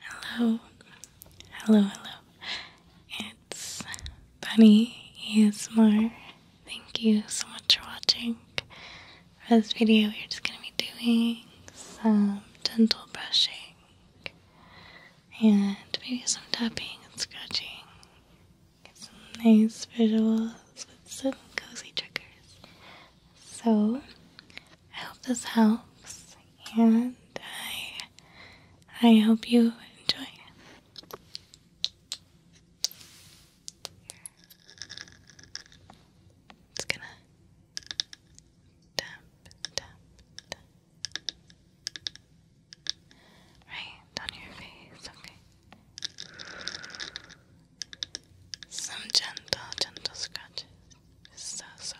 Hello, hello, hello. It's Bunny ASMR. Thank you so much for watching. For this video, we're just gonna be doing some gentle brushing and maybe some tapping and scratching. Get some nice visuals with some cozy triggers. So, I hope this helps, and I I hope you enjoy. It's gonna tap, tap, tap. Right on your face, okay. Some gentle, gentle scratches. so soft.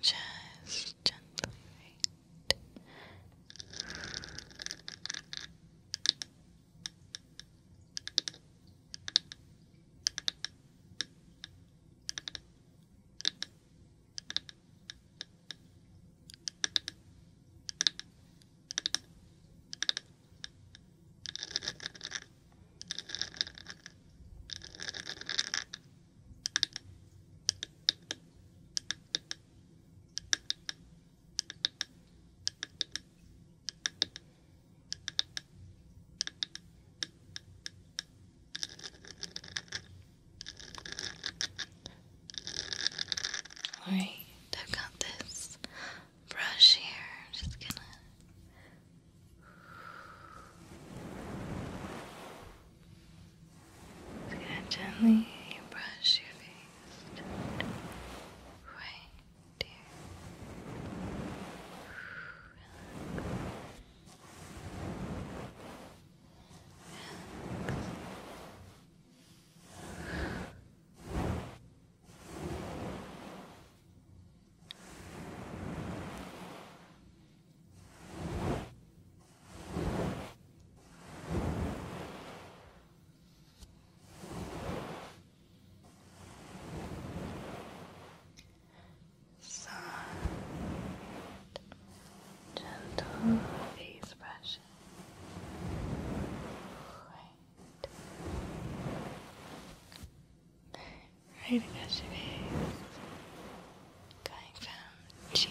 Just gently Alright, I've got this brush here. just gonna gently brush your face right here. Soft, gentle face brushing. Right right across your face, going from cheek to cheek.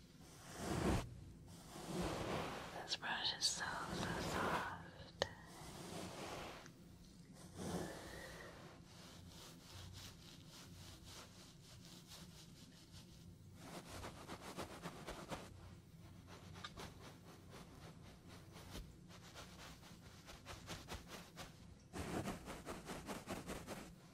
This brush is so, so soft.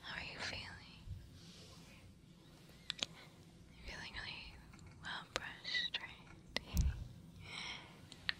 How are you feeling? feeling really well brushed, right?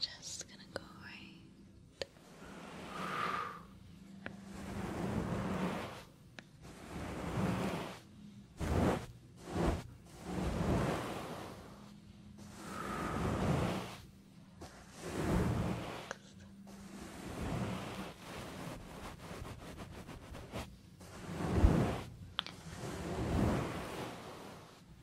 Just gonna go right.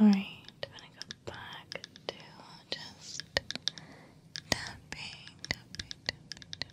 Alright, I'm gonna go back to just tapping, tapping, tapping, tapping,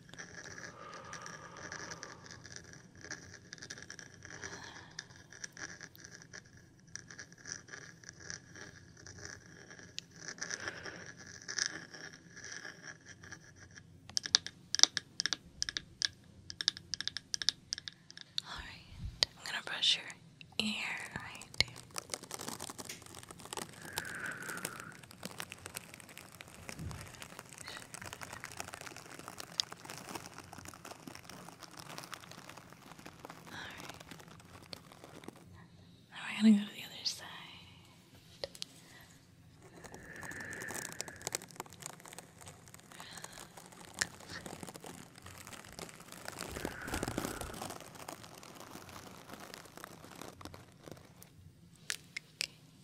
All right, I'm gonna brush your ear right here. Alright. Now we're gonna go to the other side. Okay.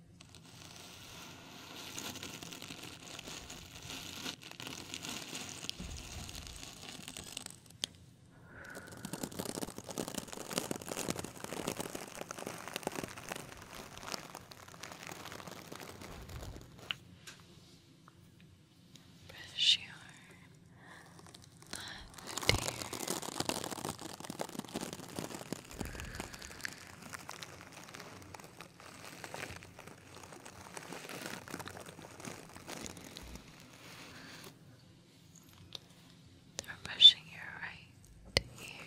Brush your left ear. They're pushing your right ear.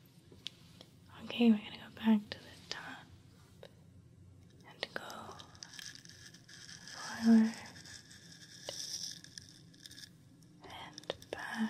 Okay, we're gonna go back to the top and go forward and back and forward and back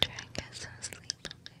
Try and get some sleep, okay?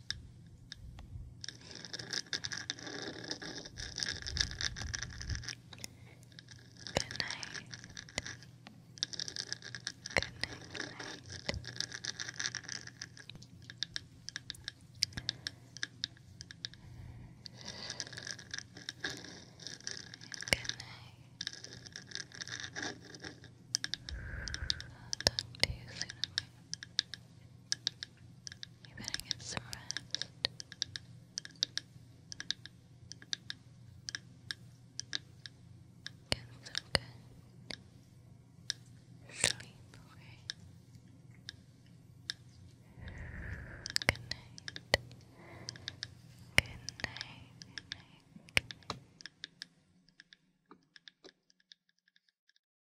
Good night. Good night, good night. Good night. talk to you soon, you better get some rest. Get some good sleep, okay? Good night. Good night. Good night.